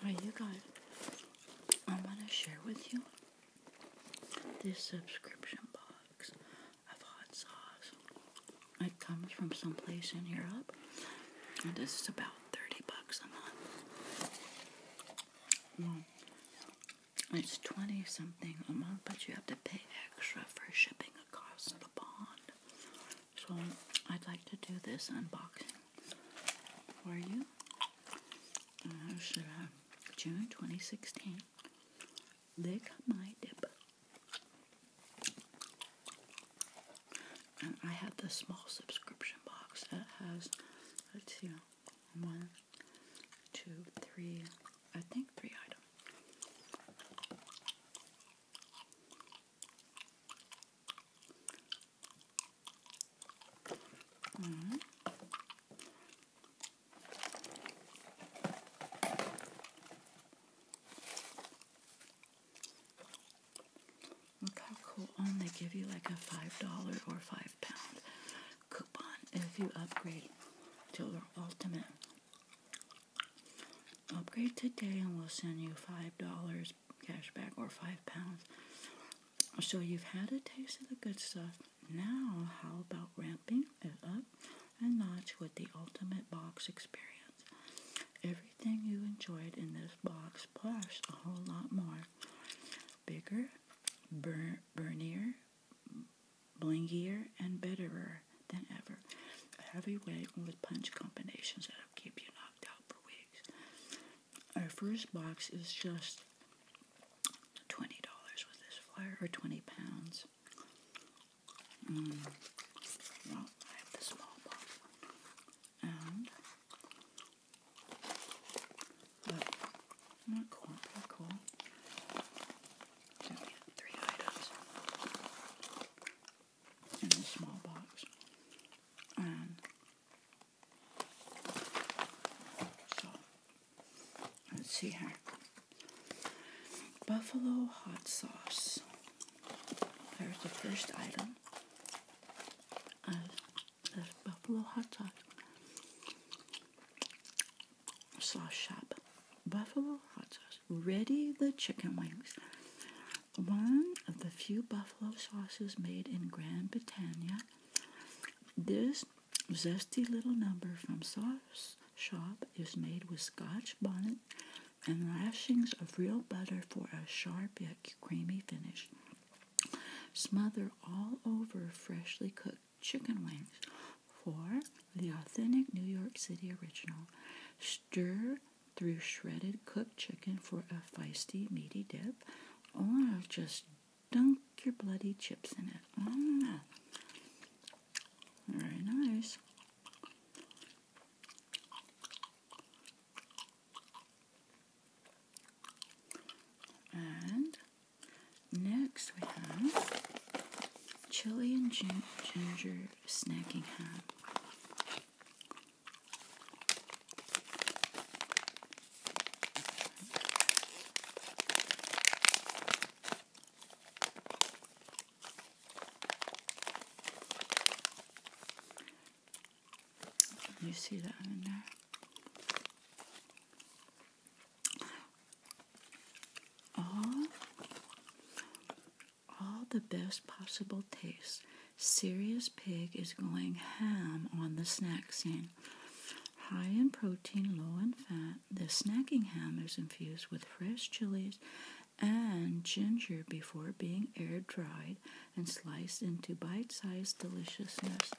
All right, you guys, I want to share with you this subscription box of hot sauce. It comes from some place in Europe, and this is about 30 bucks a month. Well, it's 20 something a month, but you have to pay extra for shipping across the pond. So, I'd like to do this unboxing for you. Uh, should I? June 2016. They lick my dip. And I have the small subscription box that has, let's see, one, two, three, I think three items. Mm-hmm. Look cool. Oh, they give you like a $5 or 5 pound coupon if you upgrade to their ultimate. Upgrade today and we'll send you $5 cash back or 5 pounds. So you've had a taste of the good stuff. Now, how about ramping it up a notch with the ultimate box experience? Everything you enjoyed in this box, plus a whole lot more. Bigger, bur- burnier, blingier, and bitterer than ever. A heavyweight with punch combinations that'll keep you knocked out for weeks. Our first box is just $20 with this flyer, or 20 pounds. Mm. Well, I have the small box. And, not cool, not cool. So we have three items in the small box. And let's see here. Buffalo hot sauce. There's the first item. Uh, buffalo hot sauce. shop. Buffalo hot sauce. Ready the chicken wings. One of the few buffalo sauces made in Grand Britannia this zesty little number from Sauce Shop is made with scotch bonnet and lashings of real butter for a sharp yet creamy finish. Smother all over freshly cooked chicken wings for the authentic New York City original. Stir through shredded cooked chicken for a feisty, meaty dip or just dunk your bloody chips in it. Mm. Very nice. And next we have chili and ginger snacking ham. You see that in there? Oh, all the best possible taste. Serious Pig is going ham on the snack scene. High in protein, low in fat, this snacking ham is infused with fresh chilies and ginger before being air dried and sliced into bite sized deliciousness.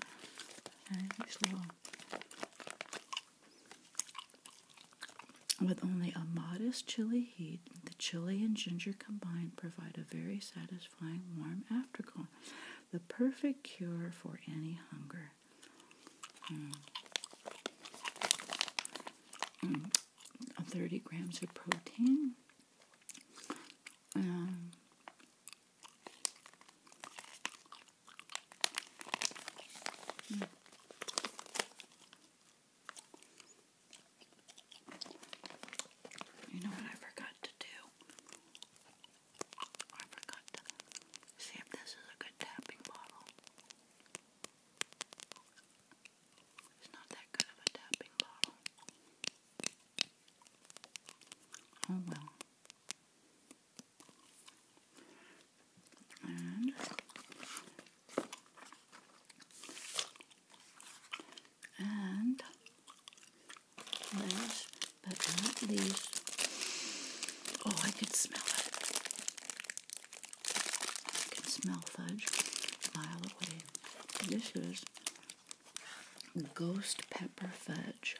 With only a modest chili heat, the chili and ginger combined provide a very satisfying warm afterglow, the perfect cure for any hunger. Hmm. Hmm. 30 grams of protein. Um, hmm. You know what I forgot to do? I forgot to see if this is a good tapping bottle. It's not that good of a tapping bottle. Oh well and and last but not least, oh, I can smell it. I can smell fudge This is ghost pepper fudge.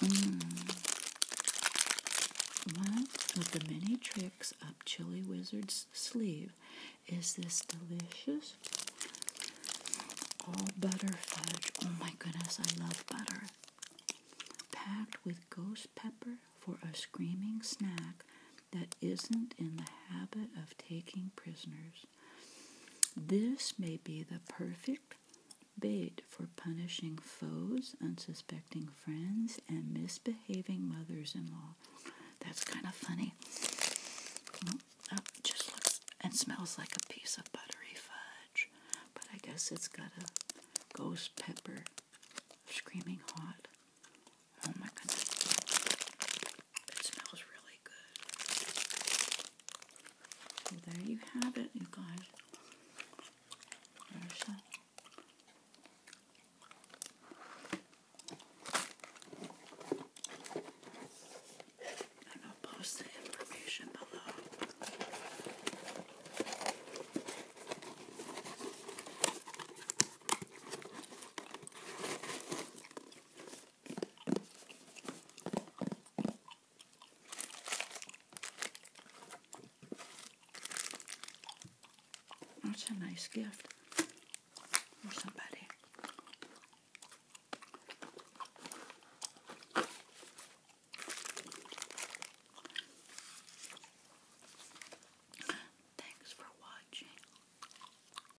Mm. One of the many tricks up Chili Wizard's sleeve is this delicious all butter fudge. Oh my goodness, I love butter. Packed with ghost pepper for a screaming snack that isn't in the habit of taking prisoners. This may be the perfect bait for punishing foes, unsuspecting friends, and misbehaving mothers in law. That's kind of funny. Oh, just looks and smells like a piece of buttery fudge, but I guess it's got a ghost pepper screaming hot. Oh my goodness. It smells really good. there you have it, you guys. I'll post the information below. That's a nice gift for somebody. Thanks for watching.